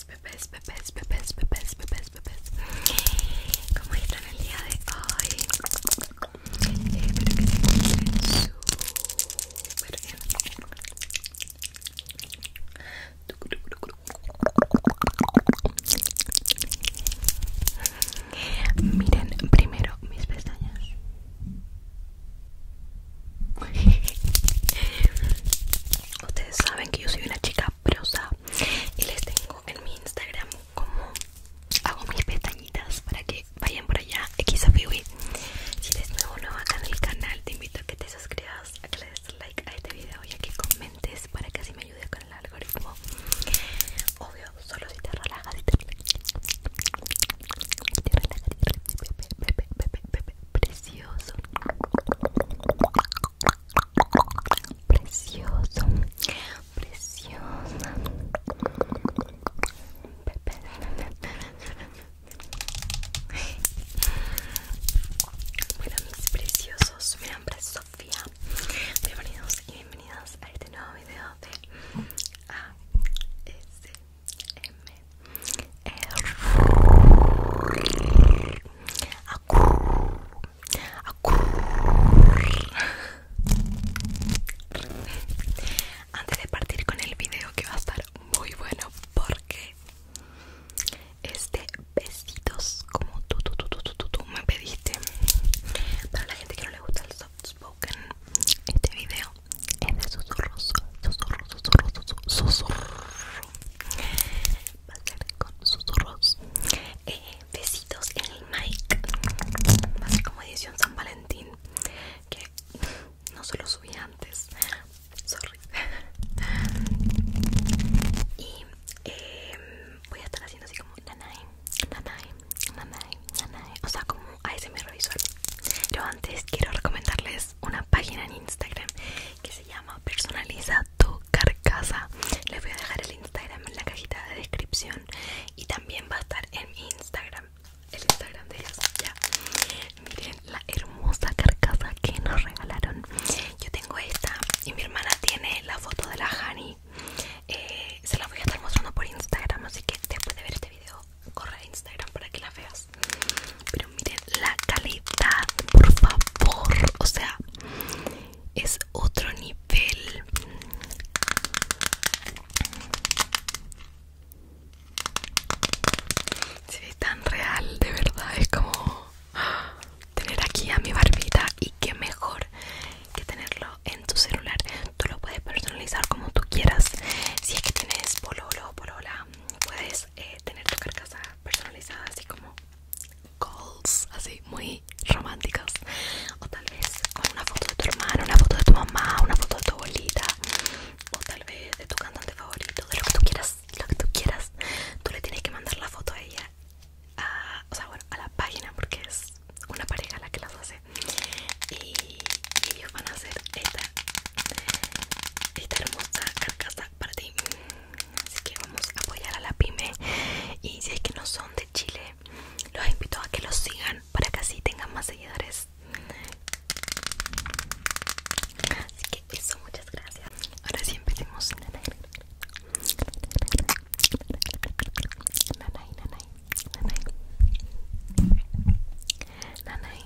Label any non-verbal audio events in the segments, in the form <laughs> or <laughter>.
Pepe's, Pepe's, Pepe's, Pepe's, Pepe's, Pepe's ¿Cómo están el día de hoy? espero que Miren primero mis pestañas. <laughs> Ustedes saben que yo soy una chica y les tengo en mi Instagram como hago mis pestañitas para que vayan por allá xfiwi si eres nuevo nuevo acá en el canal te invito a que te suscribas a que le des like a este video y a que comentes para que así me ayudes con el algoritmo obvio solo si te relajas si te relajas precioso Precioso, preciosa. Bueno, mis preciosos, mi nombre es Sofía. Bienvenidos y bienvenidas a este nuevo video de ASMR. Antes de partir con el video que va a estar muy bueno porque es de besitos como tú, tú, tú, tú, tú, tú me pediste. Para la gente que no le gusta el soft spoken, este video es de susurros, susurros, susurros, susurros va a ser con susurros eh, besitos en el mic va a ser como edición San Valentín que no se lo subí antes sorry y em, voy a estar haciendo así como nanay nanay nanay nanay o sea como ASMR visual pero antes quiero recomendarles una página en Instagram que llama Personaliza tu carcasa. Les voy a dejar el Instagram en la cajita de descripción y también va a estar en mi Instagram. El Instagram de ellos, ya. Miren la hermosa carcasa que nos regalaron. Yo tengo esta y mi hermana tiene la foto de la honey, eh, se la voy a estar mostrando por Instagram, así que después de ver este video, corre a Instagram para que la veas pero miren la calidad por favor o sea es otro nivel se ve tan real de verdad es como tener aquí a mi barbita y qué mejor que tenerlo en tu celular tú lo puedes personalizar como tú quieras si es que tienes polo polola puedes eh, tener tu carcasa personalizada así como goals, así muy románticas o tal vez con una foto de tu hermano, una foto de tu mamá, una foto de tu abuelita o tal vez de tu cantante favorito, de lo que tú quieras, lo que tú quieras tú le tienes que mandar la foto a ella a, o sea bueno, a la página porque es una pareja la que las hace y, y ellos van a hacer esta esta hermosa carcasa para ti. Así que vamos a apoyar a la pyme. Y si es que no son de Chile, los invito a que los sigan para que así tengan más seguidores. Así que eso, muchas gracias. Ahora sí empecemos. nanay, nanay, nanay, nanay,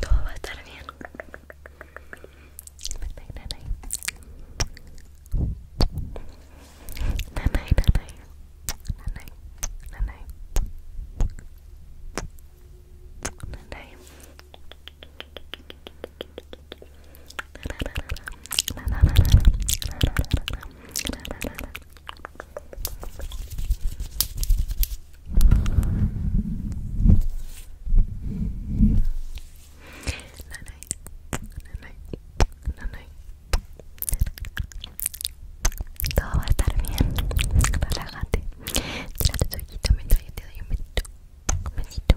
todo va a estar bien. Nanay, nanay, nene nene Todo va a estar bien. Relájate. te doy un besito. Un besito.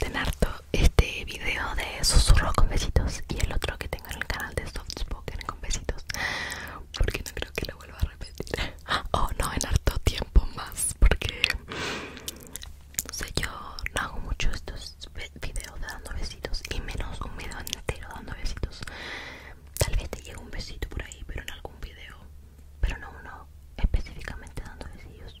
en harto este video de susurro con besitos y el otro que tengo en el canal de Soft Spoken con besitos porque no creo que lo vuelva a repetir. <gasps> Oh no, en harto tiempo más porque no sé yo no hago mucho estos videos de dando besitos y menos un video entero dando besitos tal vez te llegue un besito por ahí pero en algún video pero no uno específicamente dando besitos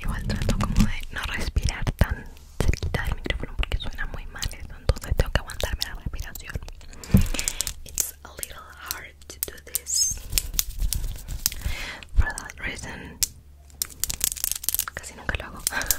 Igual trato como de no respirar tan cerquita del micrófono porque suena muy mal entonces tengo que aguantarme la respiración. It's a little hard to do this. For that reason, casi nunca lo hago. <laughs>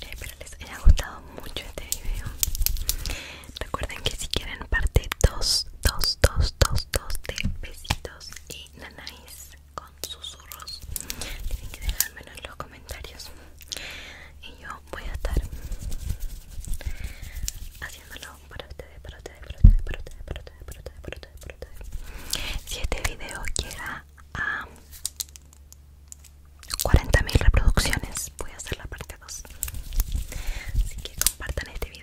Espero eh, les haya gustado mucho este video. Recuerden que si quieren parte 2, 2, 2, 2, 2 de besitos y nanáis con susurros, tienen que dejármelo en los comentarios. Y yo voy a estar haciéndolo si este video llega a 40.000 reproducciones, voy a hacer la parte 2. Así que compartan este video.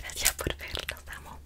Gracias por verlo, amo.